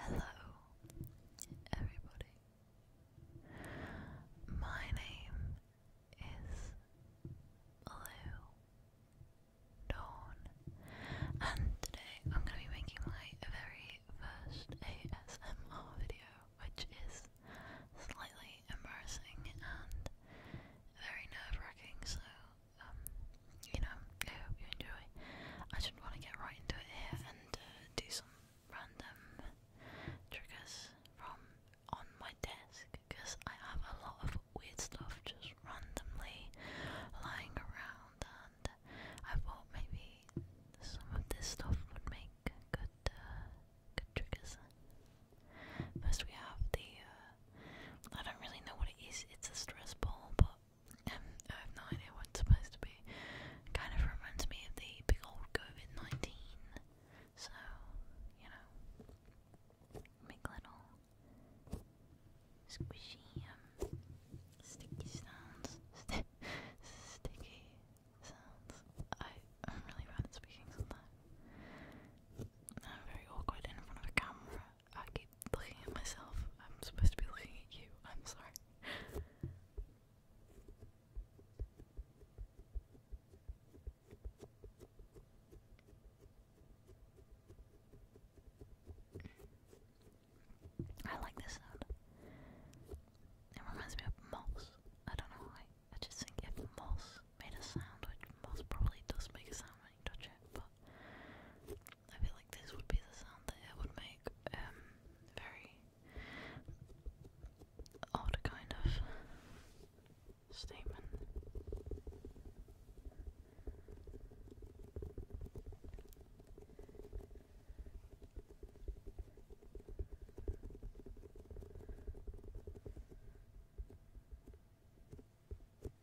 Hello, everybody. My name is Lou Dawn, and today I'm going to be making my very first ASMR video, which is slightly embarrassing and very nerve wracking, so um, you know, I hope you enjoy. I just want to get right into it here and uh, do some random triggers from on my desk because I have a lot of weird stuff just randomly lying around, and I thought maybe some of this stuff would make good, uh, good triggers. First, we have the uh, I don't really know what it is. It's a stress ball, but um, I have no idea what it's supposed to be. kind of reminds me of the big old COVID 19. So, you know, make little squishy, um, sticky sounds. sticky sounds. I, I'm really bad at speaking sometimes. I'm very awkward in front of a camera. I keep looking at myself. I'm supposed to be looking at you. I'm sorry. I like this sound. It reminds me of moss. I don't know why. I just think if moss made a sound, which moss probably does make a sound when you touch it, but I feel like this would be the sound that it would make. Um, very odd kind of statement.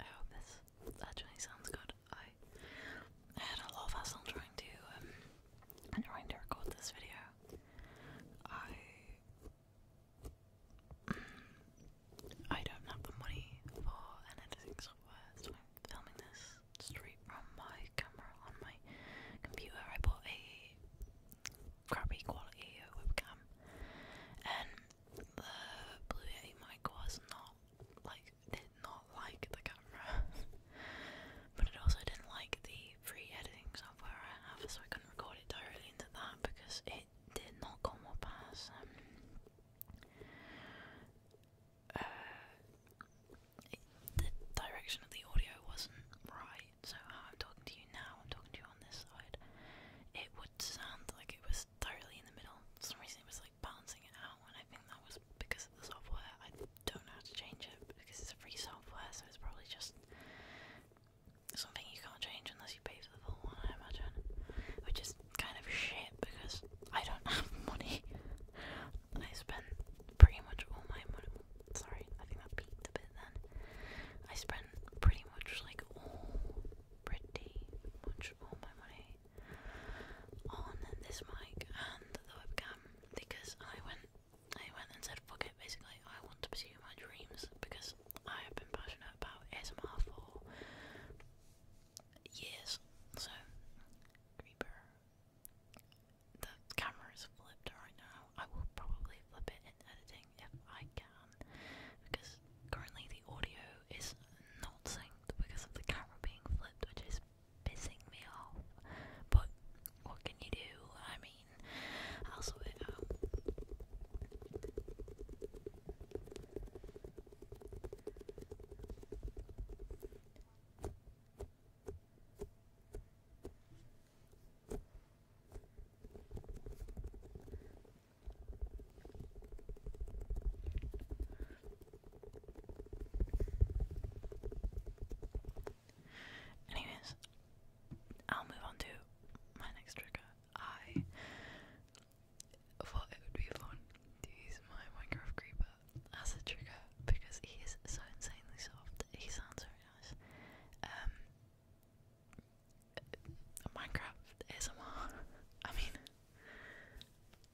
I hope this actually sounds good. I, had a lot of hassle trying to um, trying to record this video. I I don't have the money for an editing software, so I'm filming this straight from my camera on my computer. I bought a crappy quality webcam, and the Blue Yeti mic was not like did not like the camera, but it also didn't like the the free editing software I have, so I couldn't record it directly into that because it did not come up as um, uh, the direction of the audio wasn't right. So how I'm talking to you now, I'm talking to you on this side. It would sound like it was thoroughly in the middle. For some reason, it was like balancing it out, and I think that was because of the software. I don't know how to change it because it's a free software, so it's probably just something you can't change unless you pay for the full one, I imagine. Which is kind of shit because I don't have money. I spend pretty much all my money. Sorry, I think that peaked a bit then. I spent pretty much like all, pretty much all my money on this mic and the webcam because I went I went and said, fuck it, basically, I want to pursue my dreams because I have been passionate about ASMR for years. So, Creeper. The camera is flipped right now. I will probably flip it in editing if I can because currently the audio is not synced because of the camera being flipped, which is bissing me off. But what can you do? I mean, I'll sort it out. Um, Anyways, I'll move on to my next trigger. I thought it would be fun to use my Minecraft Creeper as a trigger because he is so insanely soft. He sounds very nice. Um, Minecraft ASMR. mean,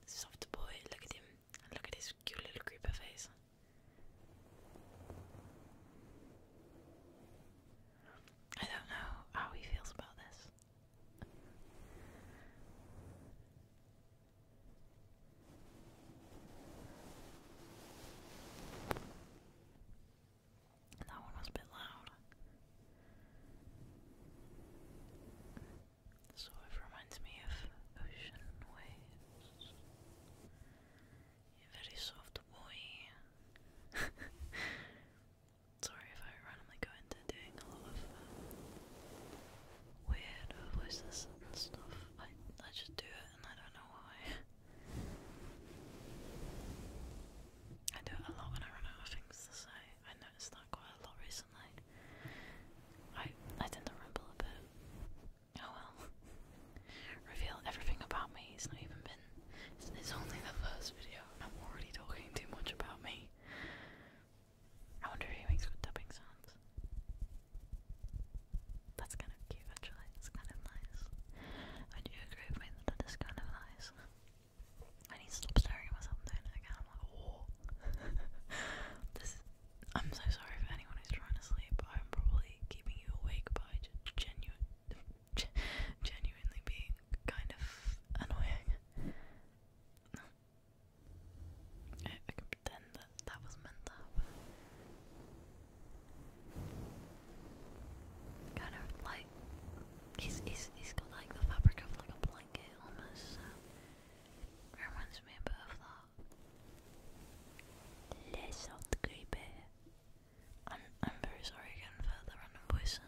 soft boy. Look at him. Look at his cute little creeper face. I don't know how he feels about this. That one was a bit loud. Sort of reminds me of ocean waves. You're very soft boy. Sorry if I randomly go into doing a lot of uh, weird voices and stuff. I I just do it and I don't know why. I do it a lot when I run out of things to say. I noticed that quite a lot recently. I I tend to ramble a bit. Oh well. Reveal everything about me. It's not even been. It's, only the first video. I'm already talking too much about me. I wonder if he makes good dubbing sounds. That's kind of cute, actually. It's kind of nice. I do agree with me that that is kind of nice. I need to stop staring at I'm like, oh. I'm so sorry for anyone who's trying to sleep. I'm probably keeping you awake by genuine, genuinely being kind of annoying. I, I that was meant to happen. Kind of like he's he's he's got like the fabric of like a blanket almost. reminds me a bit of that. Les autres grippes. I'm I'm very sorry again for the random voice.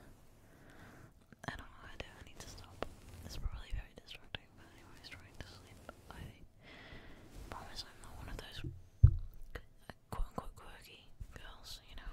I don't know how to do. I need to stop. It's probably very distracting. But anyways, trying to sleep. I promise I'm not one of those quote unquote quirky girls. You know.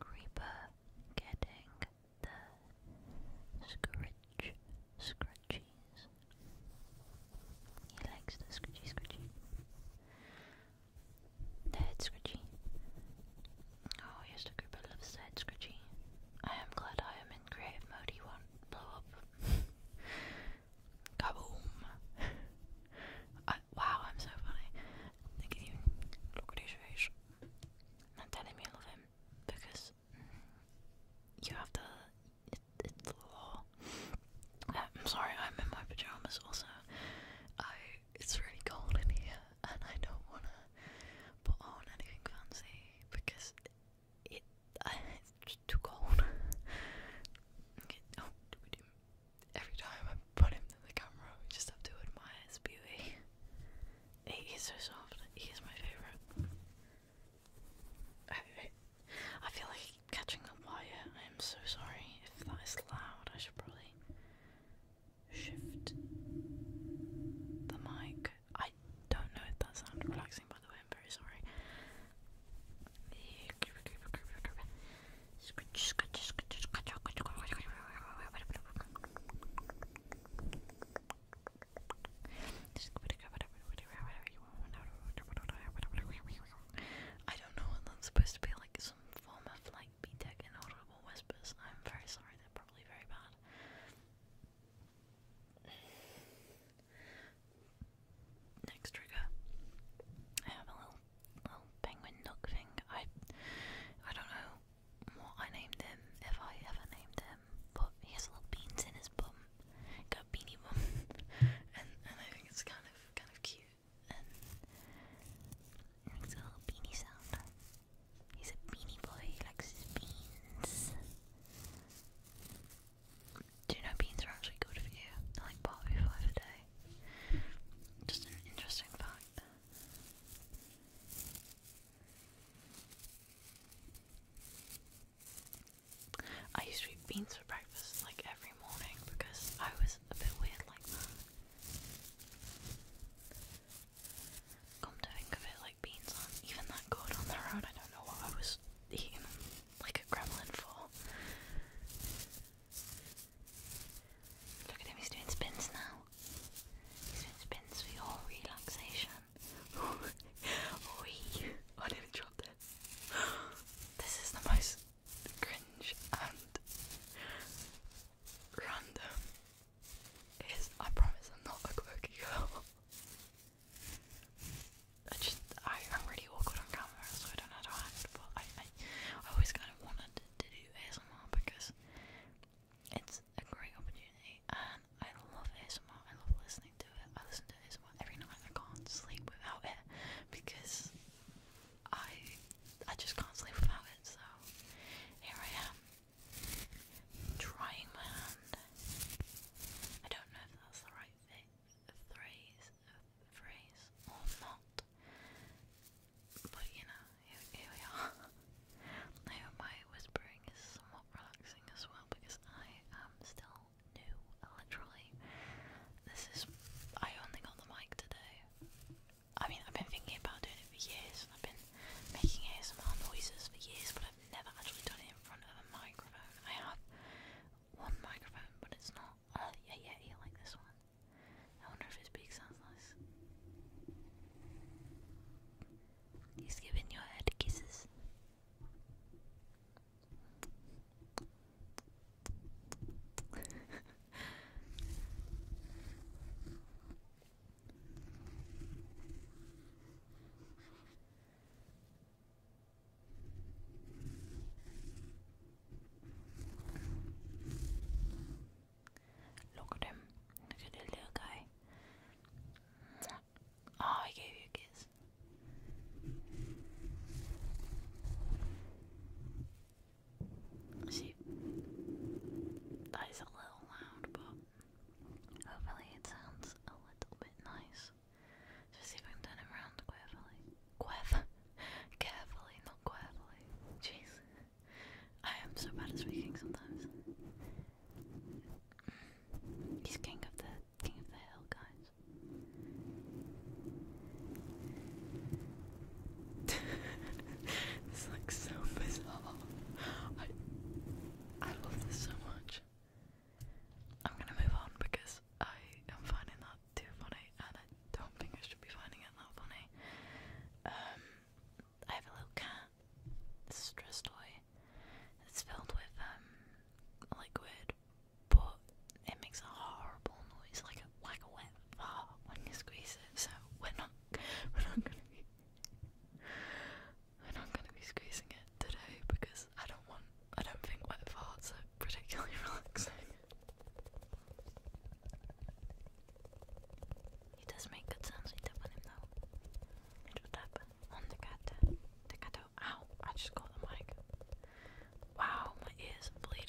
Creeper getting the scritch scratchies. He likes the scratchy scratchy. The head scratchy. Oh yes, the Creeper loves the head scratchy. I am glad I am in creative mode. He won't blow up. Kaboom! I, wow, I'm so funny. Look at you. Look at his face. telling me I love him because you have to. it's the law. I'm sorry, I'm in my pajamas. Also, I it's really cold in here, and I don't wanna put on anything fancy because it it's just too cold. okay. Oh, do we do? every time I put him in the camera, we just have to admire his beauty. He is so soft. He is my favorite. I feel like catching the wire. I am so sorry if that is loud. I should probably shift the mic. I don't know if that sounded relaxing, by the way. I'm very sorry. Scratch, scratch, scratch, scratch, scratch, scratch. I don't know what that's supposed to be like some form of like BTEC inaudible whispers. I'm very sorry, they're probably very bad. Next trigger. I have a little little oh, penguin nook thing. I I don't know what I named him, if I ever named him, but he has little beans in his bum. He got beanie bum. and and I think it's kind of kind of cute. And it makes little beanie sound. He's a beanie boy, he likes his beans. Do you know beans are actually good for you? like five a day. Just an interesting fact. I used to eat beans for breakfast like every morning because I was a bit weird like that. Come to think of it, like beans are even that good on their own. I don't know what I was eating like a gremlin for. Look at him, he's doing spins now. He's doing spins for your relaxation. Oi! I nearly dropped it. This is the most cringe and random. It is, I promise I'm not a quirky girl. I just, I, I'm really awkward on camera, so I don't know how to but I, I, I always kind of wanted to do ASMR because it's a great opportunity and I love ASMR. I love listening to it. I listen to ASMR every night. I can't sleep without it because I I just can't sleep without it. So here I am trying my hand. I don't know if that's the right phrase, phrase or not. But you know, here, we are. I hope my whispering is somewhat relaxing as well because I am still new, literally. This is. I only got the mic today. I mean, I've been thinking about doing it for years, I've been making ASMR noises for years, but I've never actually done it in front of a microphone. I have one microphone, but it's not. Uh, yeah, yeah, yeah, like this one. I wonder if his beak sounds nice. He's giving your head kisses. Look at him. Look at the little guy. Ah, oh, he gave you a kiss. See, that is a little loud, but hopefully it sounds a little bit nice. Just see if I can turn around Carefully, carefully, not carefully. Jeez. I am so bad at speaking sometimes. He's king of the king of the hill, guys. this looks so bizarre. I I love this so much. I'm gonna move on because I am finding that too funny I don't think I should be finding it that funny. Um, I have a little cat. stress toy. It's filled with um liquid, but it makes a horrible noise, like a wet fart when you squeeze it. So we're not we're not gonna be we're not gonna be squeezing it today because I don't want I don't think wet farts are particularly relaxing. He does make good sounds when you tap him though. Little tap on the The cat. Ow! I just got the mic. Wow, my ears bleeding.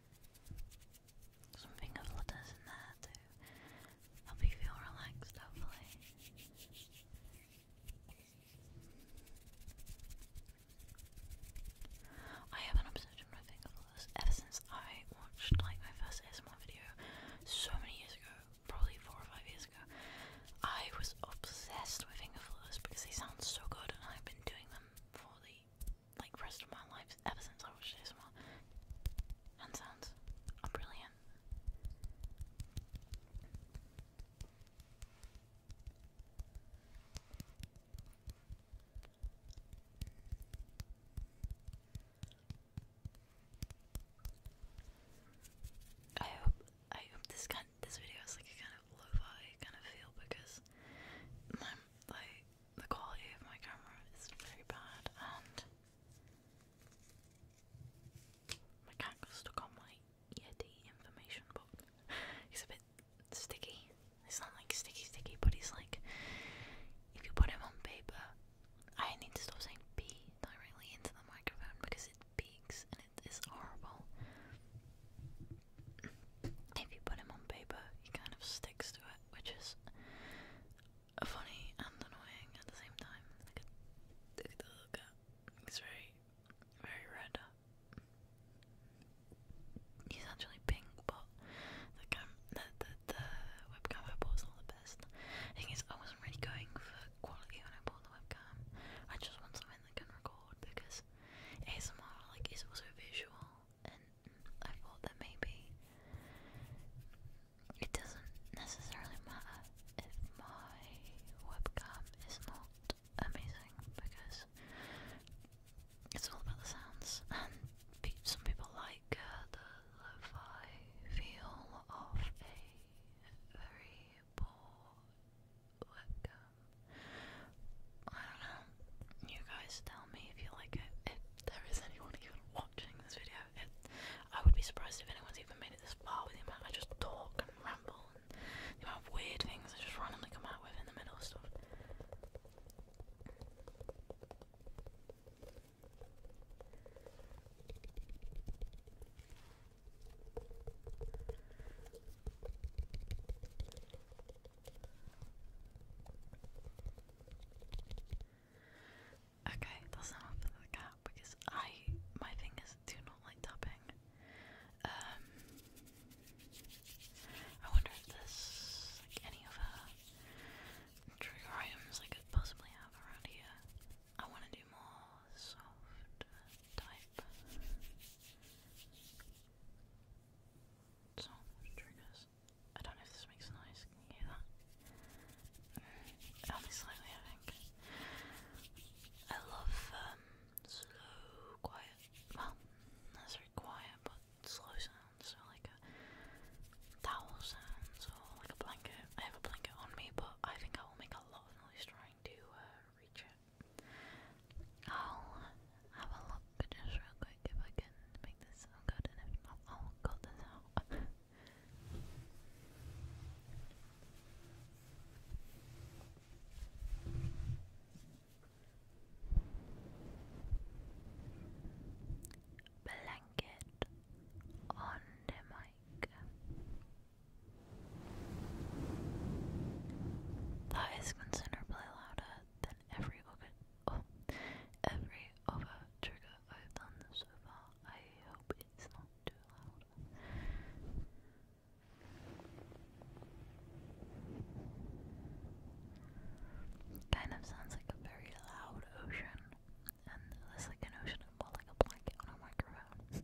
Something of letters in there to help you feel relaxed, hopefully. I have an obsession with finger letters ever since I watched like my first ASMR video so many years ago, probably four or five years ago. I was obsessed with finger fillers because they sound so good and I've been doing them for the like rest of my life ever since I watched ASMR. Hand sounds brilliant. I hope I hope this kind this video is like a kind of lo I kind of feel because I'm um, like the quality of my camera is very bad and my cat got stuck on my Yeti information book. He's a bit sticky. It's not like sticky sticky, but he's like if you put him on paper I need to stop saying pee directly into the microphone because it peaks and it is horrible. If you put him on paper, he kind of sticks to it which is funny and annoying at the same time. Look at, the little He's very, very red. He's actually pink, but the cam, the, the, the webcam I bought is not the best. thing is, I wasn't really going for quality when I bought the webcam. I just want something that can record because ASMR like is also visual and I thought that maybe it doesn't necessarily matter if my webcam is not amazing because it's all about the sounds and pe some people like uh, the lo-fi feel of a very poor webcam. I don't know you guys tell me if you like it, if there is anyone even watching this video. I would be surprised if anyone's even made it this far with me, I just talk and ramble and the amount weird things I just randomly come out with in the middle of stuff. Okay, that's enough of the cat because I my fingers do not like tapping. Um, I wonder if this like any of trigger items I could possibly have around here. I want to do more soft type. Soft triggers. I don't know if this makes a noise. Can you hear that? Only mm, I think. I love um, slow, quiet. Well, not very quiet, but slow sounds. like a towel sounds or like a blanket. I have a blanket on me, but I think I will make a lot of noise trying to uh, reach it. I'll but just real quick, if I can make this sound good, and if not, I'll cut this out. Blanket on the mic. That is considerably louder than every oh, every other trigger I've done so far. I hope it's not too loud. Kind of sounds like a very loud ocean, and there's like an ocean and more like on a microphone.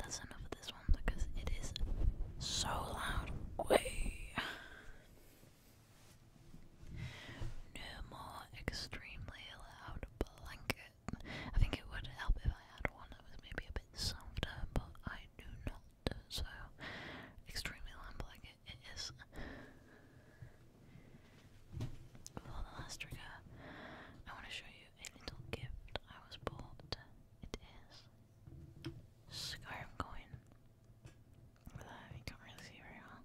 That's enough of this one because it is so loud. Way. No more extremely loud blanket. I think it would help if I had one that was maybe a bit softer, but I do not. So, extremely loud blanket it is. For the last trigger, I want to show you a little gift I was bought. It is scarf going. That I can't really see very well.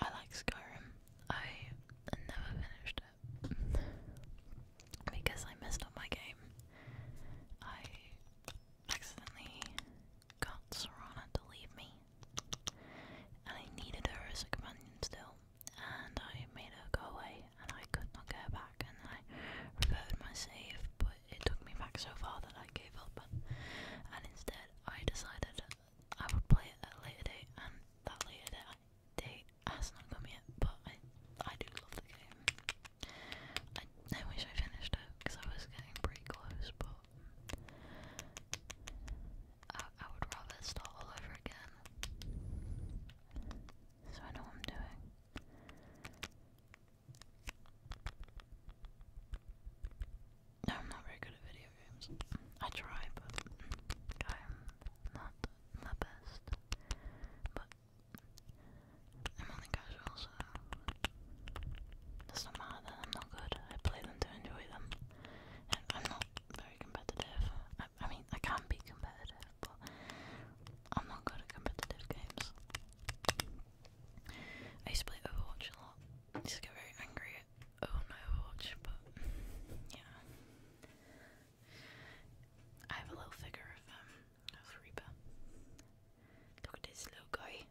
I like Skyrim. I never finished it because I messed up my game. I accidentally got Serana to leave me, and I needed her as a companion still, and I made her go away and I could not go back and I reverted my save but it took me back so far that I gave up and instead I decided I would play it a later day. and that later date has not come yet but I, I do love the game. I, I wish I finished it because I was getting pretty close but I, would rather start all over again. So I know I'm doing. No, I'm not very good at video games. I try, but I'm not the best. But I'm only casual, so doesn't matter that I'm not good. I play them to enjoy them, and I'm not very competitive. I, mean, I can be competitive, but I'm not good at competitive games. I split Overwatch a lot. I used get very angry at oh no Overwatch, but yeah. I have a little figure of um Reaper. Look at this little guy.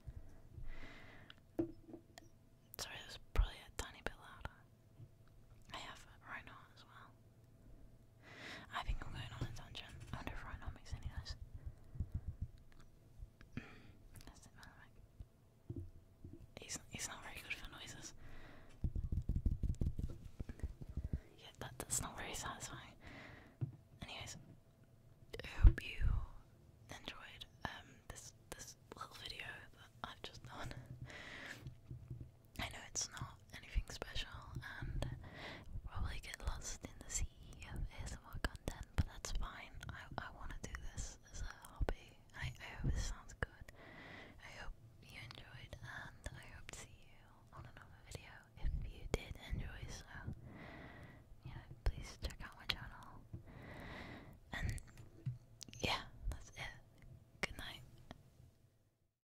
Sorry, that was probably a tiny bit louder. I have rhino as well. I think I'm going on a tangent. I wonder if right makes any noise. That's He's, not very good for noises. Yeah, that, that's not very satisfying. Anyways, I hope you enjoyed um, this this little video that I've just done. I know it's not anything special, and probably get lost in the sea of ASMR content, but that's fine. I, I want to do this as a hobby. I, I hope this sounds good. I hope you enjoyed, and I hope to see you on another video. If you did enjoy, so you please check out my channel. And yeah, that's it. Good night.